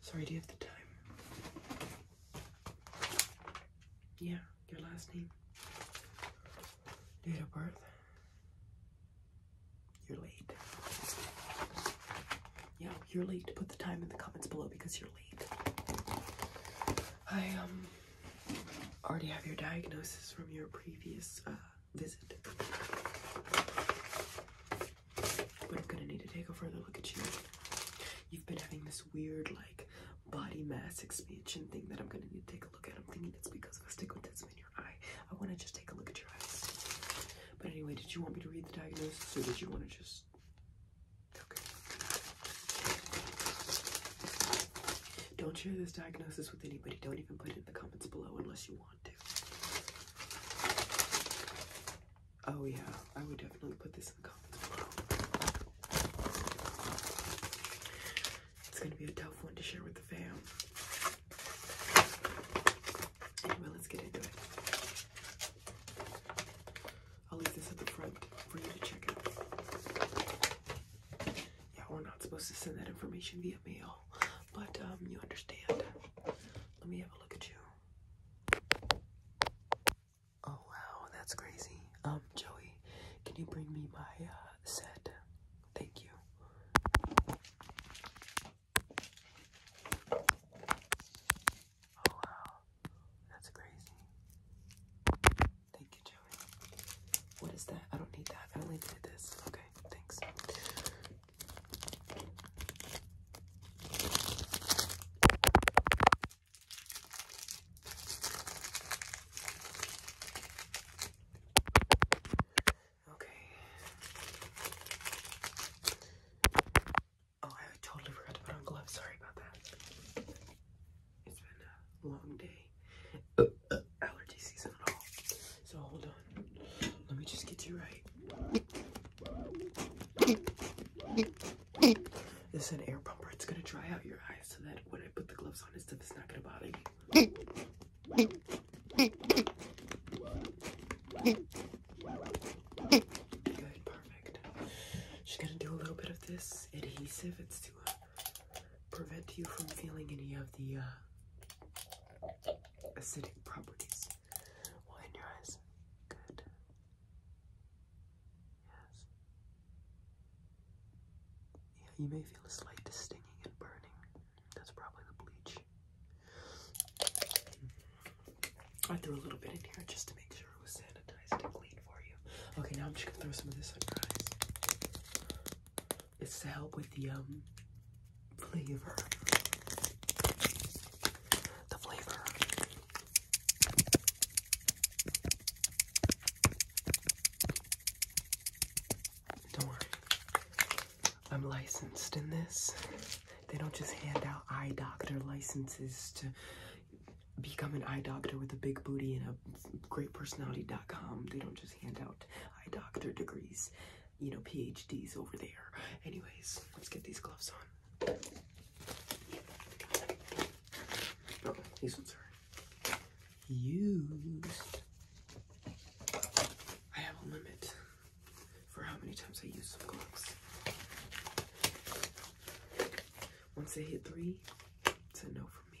Sorry, do you have the time? Yeah, your last name. Date of birth. You're late. Yeah, you're late. Put the time in the comments below because you're late. I um already have your diagnosis from your previous uh, visit. But I'm gonna need to take a further look at you. You've been having this weird, like, body mass expansion thing that I'm gonna need to take a look at. I'm thinking it's because of a astigmatism in your eye. I wanna just take a look at your eyes. But anyway, did you want me to read the diagnosis or did you wanna just. Okay. Don't share this diagnosis with anybody. Don't even put it in the comments below unless you want. Oh yeah, I would definitely put this in the comments below. It's gonna be a tough one to share with the fam. Anyway, let's get into it. I'll leave this at the front for you to check out. Yeah, we're not supposed to send that information via mail but um, you understand. Let me have a look at you. Oh wow, that's crazy. Um, Joey, can you bring me my uh, set? Thank you. Oh wow, that's crazy. Thank you, Joey. What is that? I don't need that. I only did this. Okay, thanks. Okay. Oh, I totally forgot to put on gloves. Sorry about that. It's been a long day. Uh, uh, allergy season at all. So hold on. Let me just get you right. This is an air pump. It's gonna dry out your eyes so that when I put the gloves on it's not gonna bother you. Good, perfect. She's gonna do a little bit of this adhesive. It's to uh, prevent you from feeling any of the uh, acidic properties. Well, in your eyes, good. Yes. Yeah, you may feel a slight stinging and burning. That's probably the bleach. I threw a little bit in here just to make sure it was sanitized and clean for you. Okay, now I'm just gonna throw some of this on your eyes. It's to help with the um flavor. The flavor. Don't worry. I'm licensed in this. They don't just hand out eye doctor licenses to become an eye doctor with a big booty and a great personality.com. They don't just hand out eye doctor degrees you know, PhDs over there. Anyways, let's get these gloves on. Oh, these ones are used. I have a limit for how many times I use some gloves. Once they hit three, it's a no for me.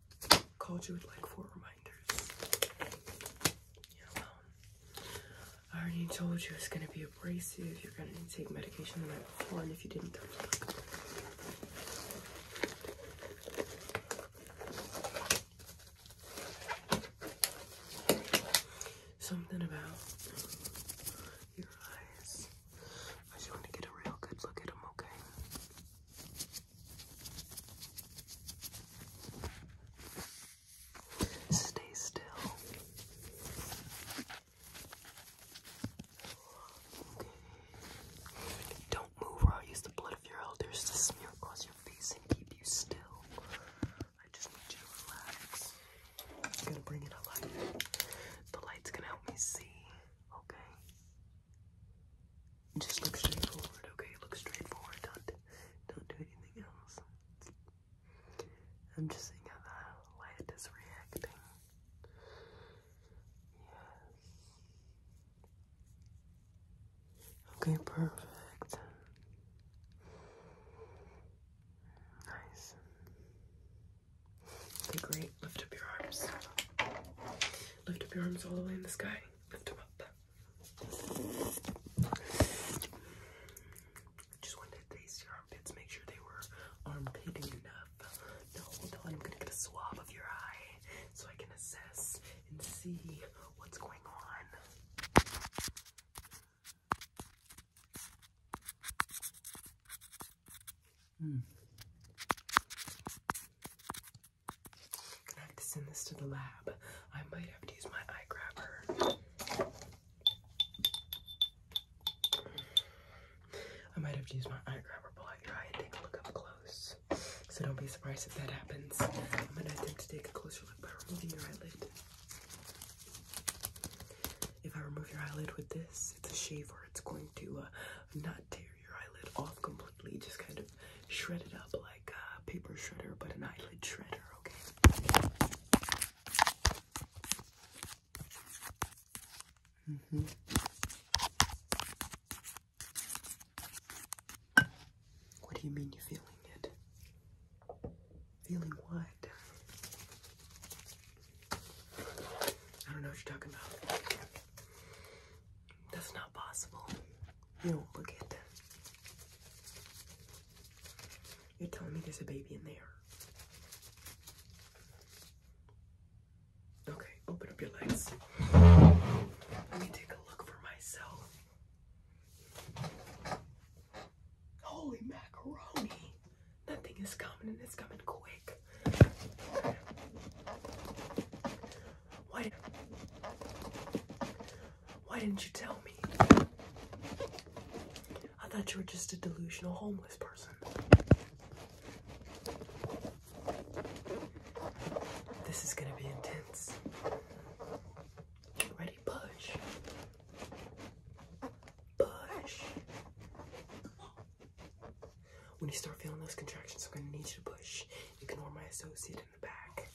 called you with like four reminders. You're I already told you it's gonna be abrasive. You're gonna take medication the night before, and if you didn't, something about your eyes. I just want to get a real good look at them, okay? Stay still. Don't move I'll use the blood of your elders to smear across your face and keep you still. I just need you to relax. I'm gonna bring it up The light's gonna help me see. Okay. Just look straight forward, okay? Look straight forward. Don't, don't do anything else. I'm just seeing how the light is reacting. Yes. Okay, perfect. Nice. Okay, great. Lift up your arms. Lift up your arms all the way in the sky. Lift them up. I Just wanted to taste your armpits, make sure they were armpitting enough. No, until I'm gonna get a swab of your eye so I can assess and see what's going on. Mm. Gonna have to send this to the lab. I might have to use my eye grabber. I might have to use my eye grabber, pull out your eye, take a look up close. So don't be surprised if that happens. I'm gonna attempt to take a closer look by removing your eyelid. If I remove your eyelid with this, it's a shave, shaver. It's going to uh, not tear your, your eyelid off completely, just kind of shred it up like a paper shredder, but an eyelid shredder, okay? Mm-hmm. What do you mean you're feeling it? Feeling what? I don't know what you're talking about. That's not possible. You don't look at that. You're telling me there's a baby in there. Okay, open up your legs. Let me take a look for myself. Holy macaroni! That thing is coming and it's coming quick. Why, did, why didn't you tell me? I thought you were just a delusional homeless person. This is gonna be intense. Get ready, push. Push. When you start feeling those contractions, I'm going to need you to push. You can Ignore my associate in the back.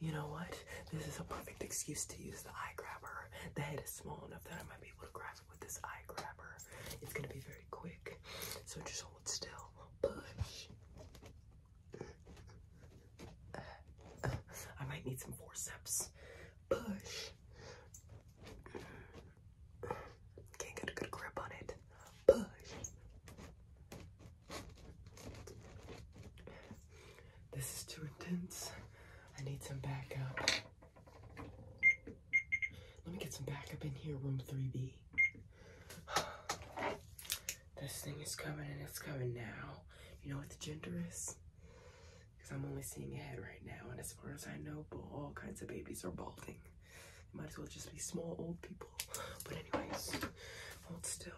You know what? This is a perfect excuse to use the eye grabber. The head is small enough that I might be able to grab it with this eye grabber. It's going to be very quick, so just hold still. Push. I might need some forceps. Push. Can't get a good grip on it. Push. This is too intense. I need some backup. Let me get some backup in here, room 3B. This thing is coming and it's coming now. You know what the gender is? because I'm only seeing ahead right now, and as far as I know, all kinds of babies are balding. It might as well just be small old people. But anyways, hold still.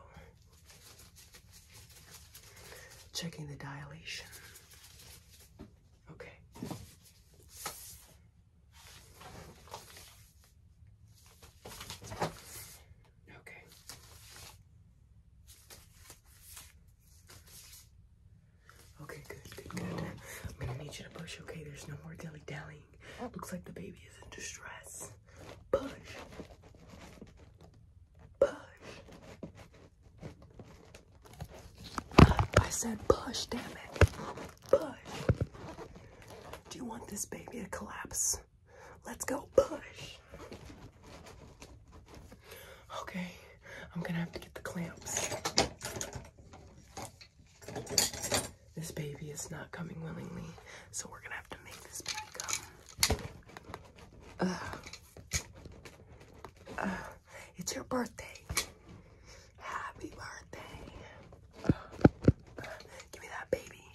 Checking the dilation. Okay. Okay. Okay, good, good, good. I'm gonna need you to push, okay? There's no more dilly dallying. Looks like the baby is in distress. Push. Push. I said push, damn it. Push. Do you want this baby to collapse? Let's go push. Okay. I'm gonna have to get the clamps. This baby is not coming willingly, so we're gonna have to make this baby come. Uh, it's your birthday. Happy birthday. give me that baby.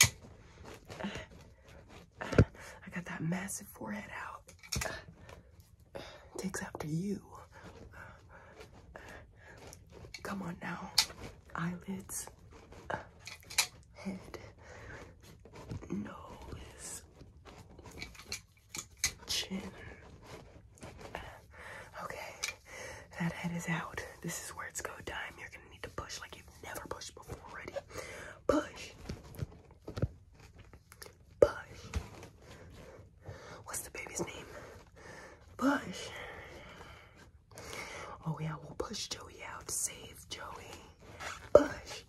I got that massive forehead out takes after you. Come on now. Eyelids, head, nose, chin. Okay, that head is out. This is where it's go time. You're gonna need to push like you've never pushed before Ready? Push. Bush. What's the baby's name? Bush. Oh yeah, we'll push Joey out. Save Joey. Bush.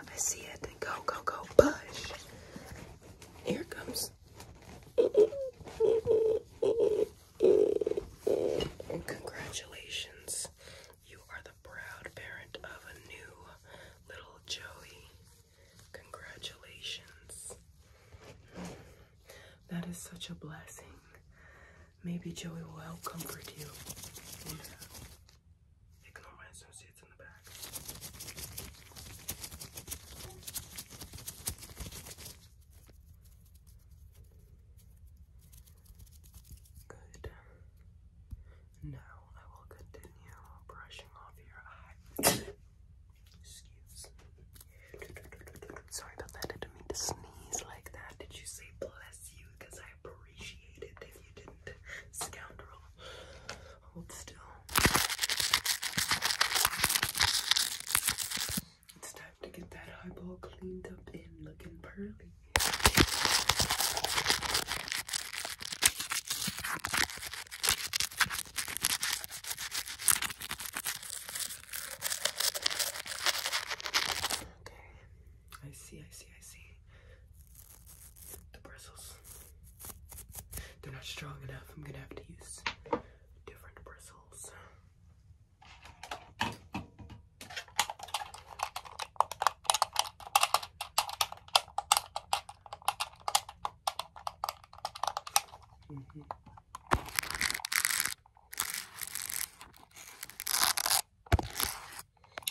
I see it. Go, go, go. Push. Here it comes. congratulations. You are the proud parent of a new little Joey. Congratulations. That is such a blessing. Maybe Joey will help comfort you. Ignore my associates in the back. Good. Now I will continue brushing off your eye. Excuse Sorry about that. I didn't mean to sneeze like that. Did you say bless you? Because I appreciate it if you didn't, scoundrel. Hold still. It's time to get that eyeball cleaned up and looking pearly. Okay, I see, I see, I see. The bristles. They're not strong enough. I'm gonna have to use different bristles.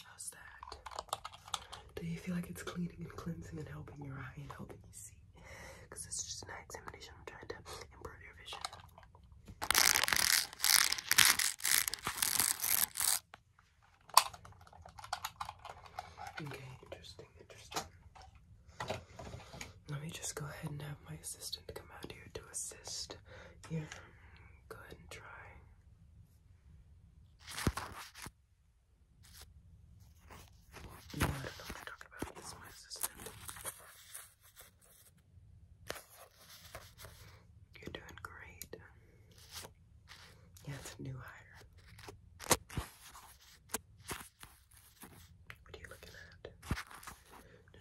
How's that? Do you feel like it's cleaning and cleansing and helping your eye and helping you see? Because it's just an examination. I'm trying to improve your vision. Okay, interesting, interesting. Let me just go ahead and have my assistant come out here to assist. Yeah. go ahead and try. No, I i talking about. This my assistant. You're doing great. Yeah, it's a new hire. What are you looking at?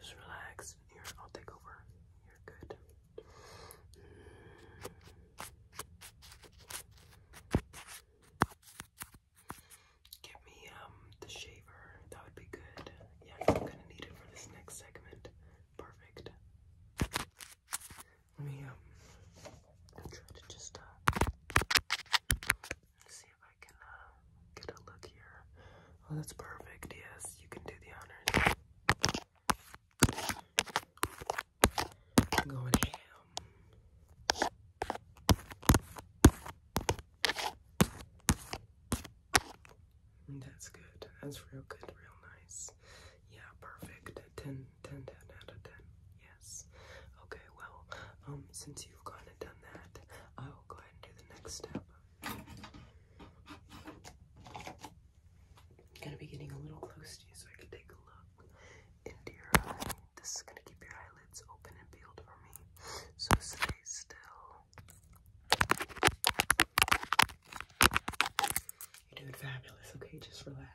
Just relax. I'll take over. You're good. Give me um the shaver. That would be good. Yeah, I'm gonna need it for this next segment. Perfect. Let me um try to just uh see if I can uh get a look here. Oh, that's perfect. Yes, you can do the honors. going ham. That's good. That's real good, real nice. Yeah, perfect. 10, out of 10. Yes. Okay, well, um, since you've gone and done that, I'll go ahead and do the next step. I'm gonna be getting a little close to you so I can take a look into your eye. This is gonna keep your eyelids open and peeled for me. So stay still. You're doing fabulous, okay? Just relax.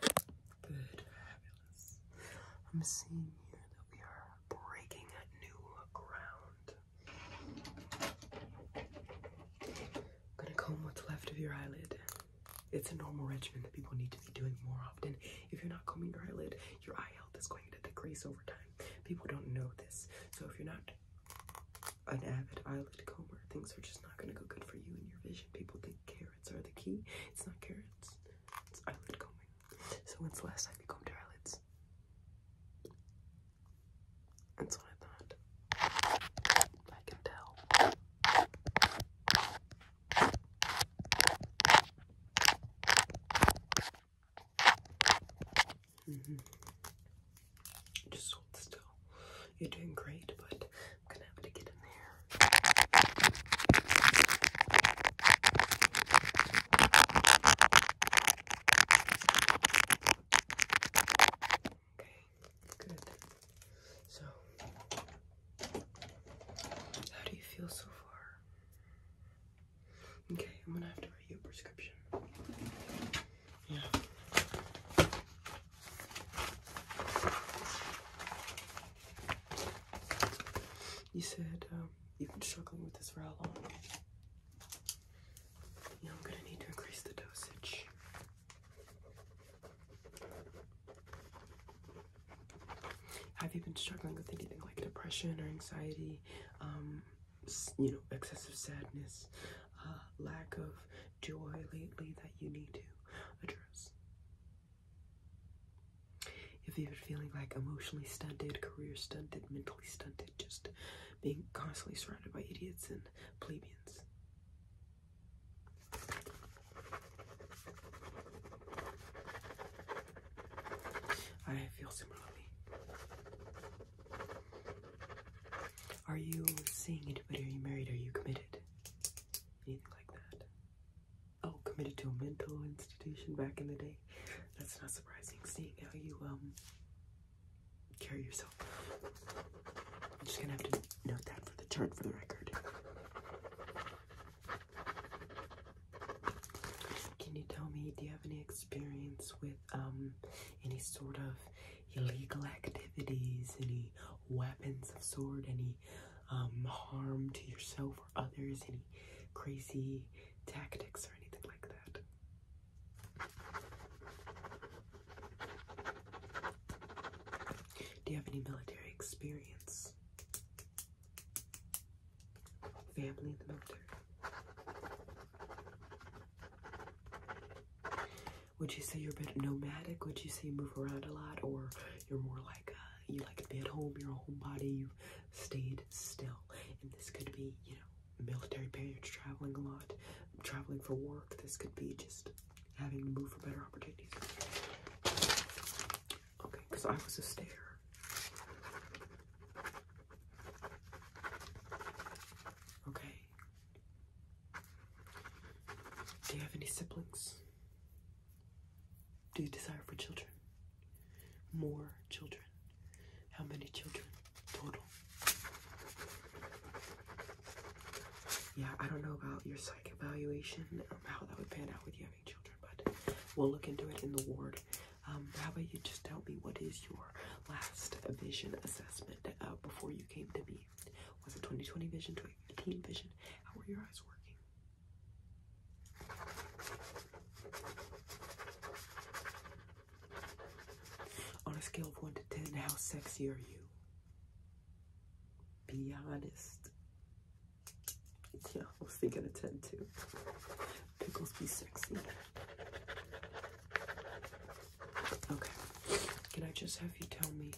Good, fabulous. I'm seeing here that we are breaking new ground. gonna comb what's left of your eyelid. It's a normal regimen that people need to be doing more often. If you're not combing your eyelid, your eye health is going to decrease over time. People don't know this. So if you're not an avid eye glaucoma, things are just not going to go good for you and your vision. People think carrots are the key. It's not carrots, it's eyelid combing. So, when's the last time you combed your eyelids? That's what I thought. I can tell. Mm-hmm. Just hold still. You're doing great, but I'm gonna have to get in there. Okay, good. So, how do you feel so far? Okay, I'm gonna have to write you a prescription. You said um, you've been struggling with this for how long? Yeah, I'm gonna need to increase the dosage. Have you been struggling with anything like depression or anxiety? Um, you know, excessive sadness, uh, lack of joy lately that you need to address. If you've been feeling like emotionally stunted, career stunted, mentally stunted, just being constantly surrounded by idiots and plebeians. I feel similarly. Are you seeing anybody? Are you married? Are you committed? Anything like that? Oh, committed to a mental institution back in the day. That's not surprising. Seeing how you um carry yourself. I'm just gonna have to note that for the chart for the record. Can you tell me? Do you have any experience with um any sort of illegal activities, any weapons of sword, any um, harm to yourself or others, any crazy tactics or anything like that. Do you have any military experience? Family in the military? Would you say you're a bit nomadic? Would you say move around a lot, or you're more like uh, you like to be at home? You're a homebody. you stayed still, and this could be you know military parents traveling a lot, traveling for work. This could be just having to move for better opportunities. Okay, because I was a stare. Okay, do you have any siblings? Do you desire for children? More children? How many children total? Yeah, I don't know about your psych evaluation, um, how that would pan out with you having children, but we'll look into it in the ward. Um, how about you just tell me what is your last vision assessment? lived uh, before you came to me? Was it 2020 vision, 2015 vision? How were your eyes working? On a scale of 1 to 10, how sexy are you? Be honest. Yeah, I was thinking a 10 too. Pickles be sexy. Okay. Can I just have you tell me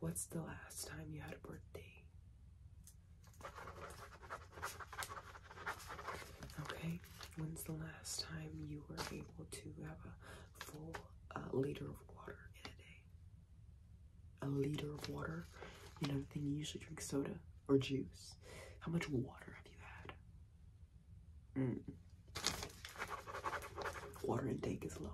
what's the last time you had a birthday? Okay. When's the last time you were able to have a full uh, liter of water in a day? A liter of water? You know, then you usually drink soda or juice. How much water have you had? Mm. Water intake is low.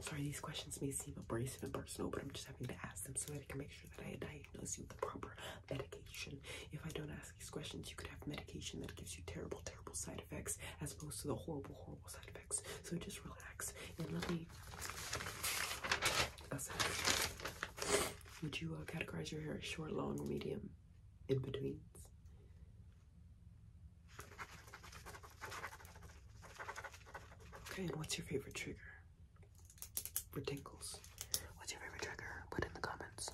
Sorry, these questions may seem abrasive and personal, but I'm just having to ask them so that I can make sure that I diagnose you with the proper medication. If I don't ask these questions, you could have medication that gives you terrible, terrible side effects as opposed to the horrible, horrible side effects. So just relax and let me. Would you uh, categorize your hair short, long, medium, in betweens? Okay, and what's your favorite trigger for tingles. What's your favorite trigger? Put in the comments.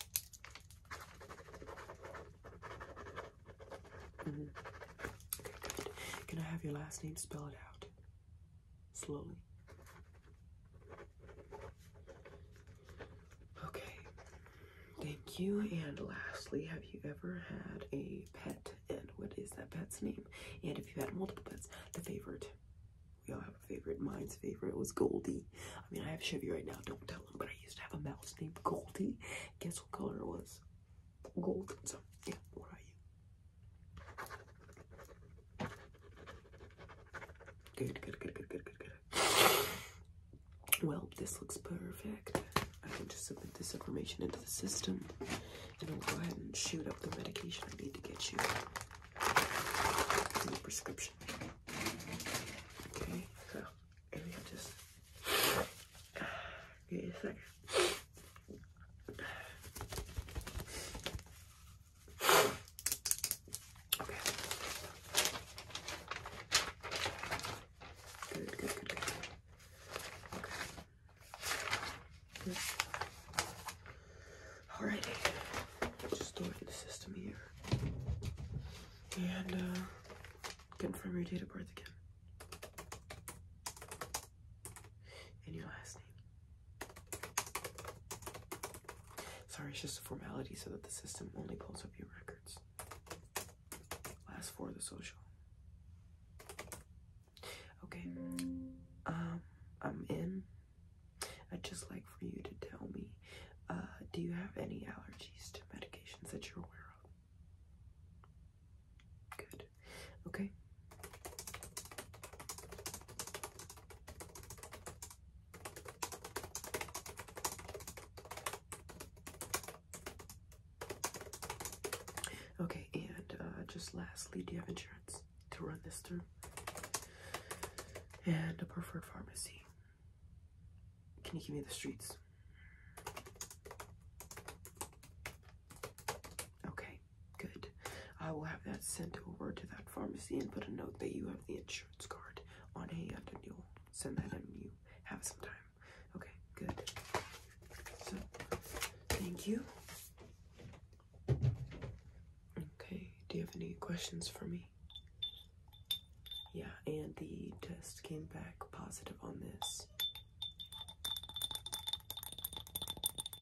Mm-hmm. Okay, good. Can I have your last name spelled out? slowly. Okay, thank you. And lastly, have you ever had a pet? And what is that pet's name? And if you had multiple pets, the favorite. We all have a favorite. Mine's favorite was Goldie. I mean, I have Chevy right now, don't tell him, but I used to have a mouse named Goldie. Guess what color it was? Gold. So, yeah, what are you? Good, good, good, good, good, good, good. Well, this looks perfect. I can just submit this information into the system and I'll go ahead and shoot up the medication I need to get you. The prescription. Okay, so and we just get you a second. Okay. Good, good, good, good. Okay. the system here. And confirm uh, your date of birth again. And your last name. Sorry, it's just a formality so that the system only pulls up your records. Last for the social. Okay. Um, I'm in. I'd just like for you to tell me, uh, do you have any allergies to medications that you're aware of? Good. Okay. Okay, and uh, just lastly, do you have insurance to run this through? And a preferred pharmacy. Can you give me the streets? Okay, good. I will have that sent over to that pharmacy and put a note that you have the insurance card on hand and you'll send that in you have some time. Okay, good. So, thank you. Okay, do you have any questions for me? Yeah, and the test came back positive on this.